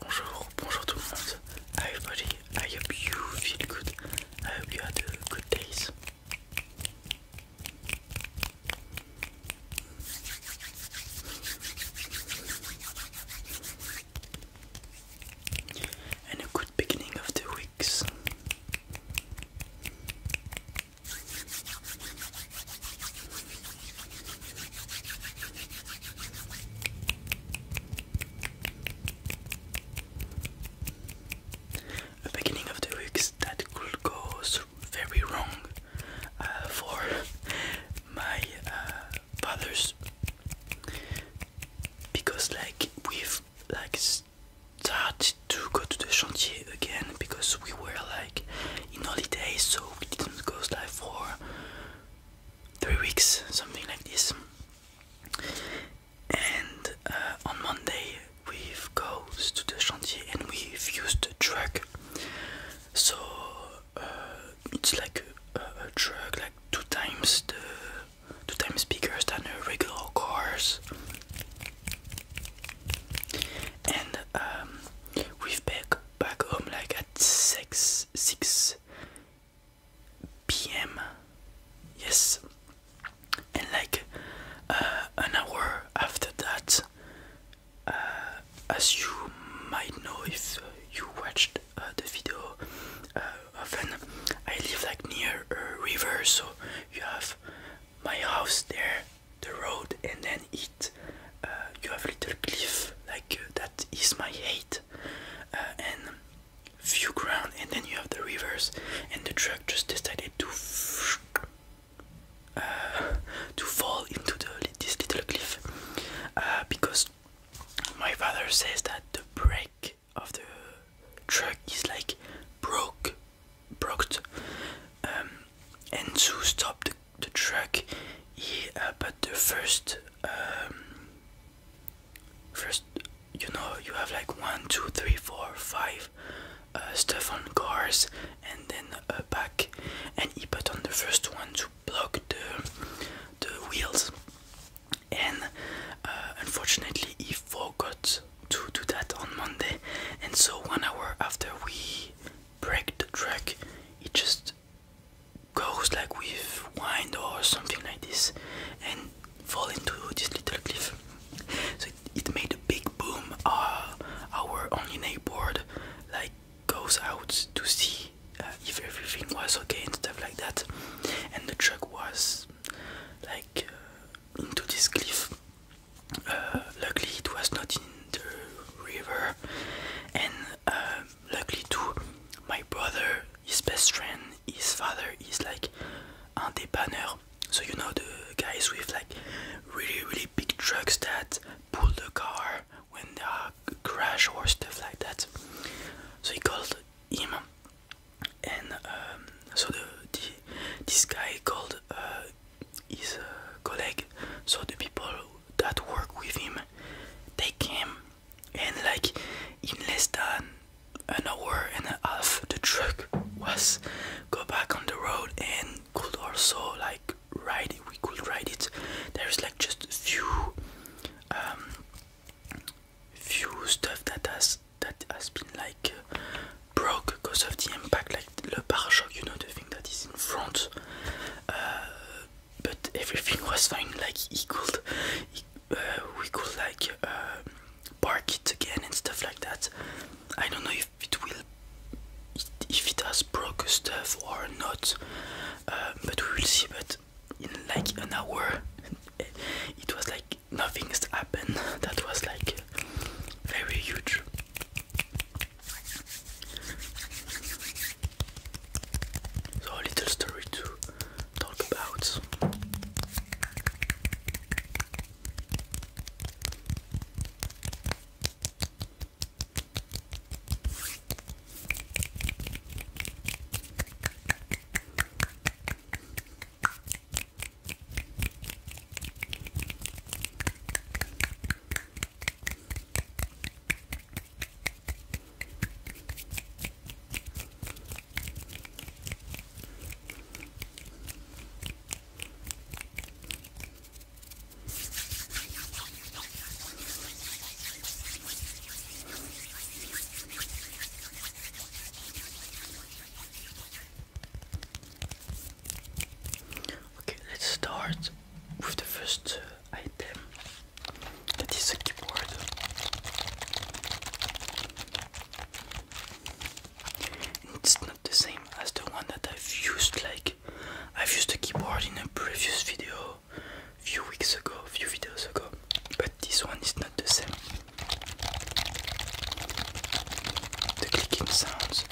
Bonjour, bonjour tout le monde. I hope you feel good. I hope you had a good days. And a good beginning of the weeks. A beginning of the weeks that could go very wrong uh, for my uh, fathers because like we've like started to go to the chantier again because we were like in holidays so we didn't go like for three weeks, something like this. And uh, on Monday we've goes to the chantier and we've used the truck. So uh, it's like a, a truck, like two times the two times bigger than the regular cars. And um, we've packed back home like at 6 6 p.m. Yes, and like uh, an hour after that, uh, as you might know if you watched uh, the video uh, often, I live like near a river, so you have my house there, the road, and then uh, you have little cliff like uh, that is my height uh, and few ground and then you have the rivers and the truck just decided to to fall into the, this little cliff because my father says that the brake of the truck is like broke broke um, and to stop the the truck yeah, uh, but the first um, first you know you have like one two three four five uh, stuff on cars and then uh, back and he put on the first one to block the the wheels and uh, unfortunately he forgot to do that on Monday and so one hour after we break the track, he just goes like with wind or something like this and fall into this little cliff. So it, made a big boom. Uh, our only board like goes out to see uh, if everything was okay and stuff like that. And the truck was like uh, into this cliff. Uh, luckily, it was not in the river, and um, luckily too my brother his best friend his father is like un banner. so you know the guys with like really really big trucks that pull the car when they crash or stuff like that so he called him and um, so the, this guy called uh, his uh, colleague so the people that work with him they came and like in less than an hour and a half the truck was go back on the road and could also like ride it we could ride it there's like just a few um few stuff that has that has been like broke because of the impact like the, the pare you know the thing that is in front uh, but everything was fine. Like he could, uh, we could like uh, park it again and stuff like that. I don't know if it will, if it has broke stuff or not, uh, but we will see. But in like an hour, it was like nothing's happened. That was like very huge. So a little story to talk about. Okay, let's start with the first item that is a keyboard it's not the same as the one that I've used like I've used a keyboard in a previous video few weeks ago few videos ago but this one is not the same the clicking sounds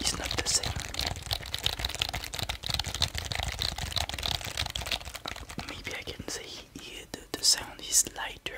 it's not the same. Maybe I can say yeah, the sound is lighter.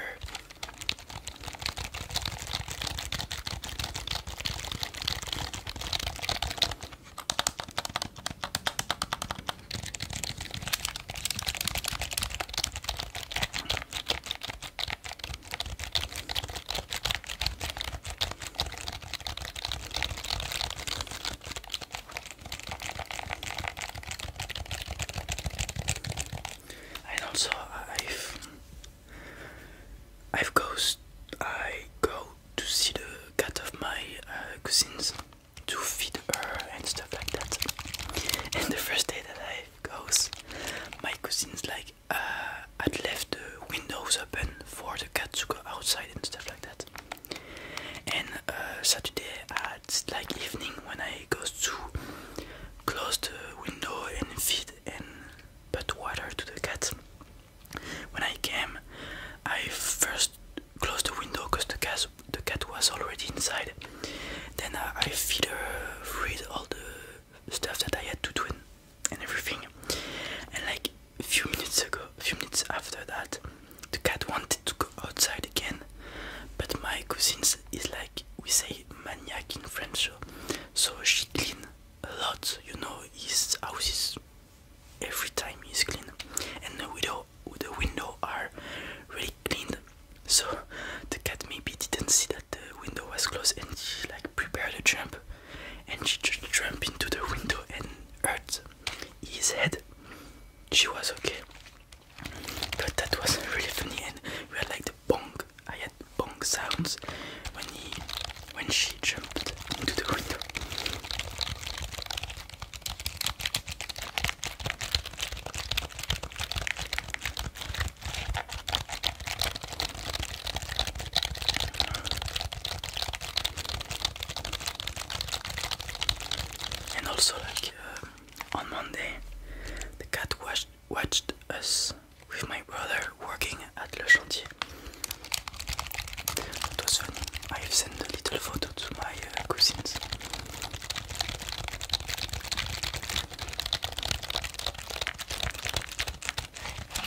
And also, I've I've goes I go to see the cat of my uh, cousins to feed her and stuff like that. And the first day that I goes, my cousins like. Uh, I'd left the windows open for the cat to go outside and stuff like that. And uh, Saturday at like evening when I goes to close the window and feed and put water to the cat. When I came, I first closed the window because the cat the cat was already inside. Then I, uh, I feed read all the stuff that I had to do and everything. And like a few minutes ago, a few minutes after that, the cat wanted to go outside again. But my cousin is like we say maniac in French, so she clean a lot. You know his houses every time he's clean, and the window, the window are really cleaned. So the cat maybe didn't see that the window was closed and she like prepared to jump and she just jumped into the window and hurt his head. She was okay. But that was really funny and we had like the bonk. I had bong sounds when he when she jumped into the window. And also, like uh, on Monday, the cat watched, watched us with my brother working at Le Chantier. It was I have sent a little photo to my uh, cousins.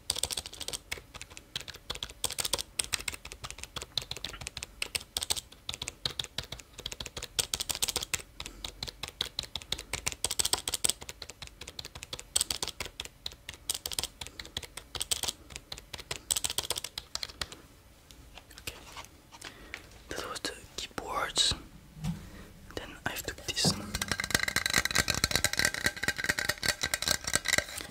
Okay. That was the keyboards. Then I took this.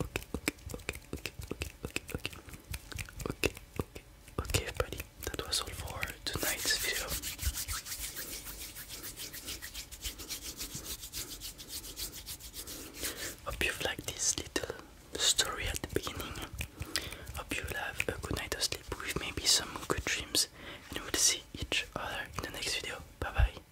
okay, okay, okay, okay, okay, okay, okay, okay, okay, okay, everybody. That was all for tonight's video. Hope you've liked this little story at the beginning. Hope you'll have a good night of sleep with maybe some good dreams, and we'll see each other in the next video. Bye bye.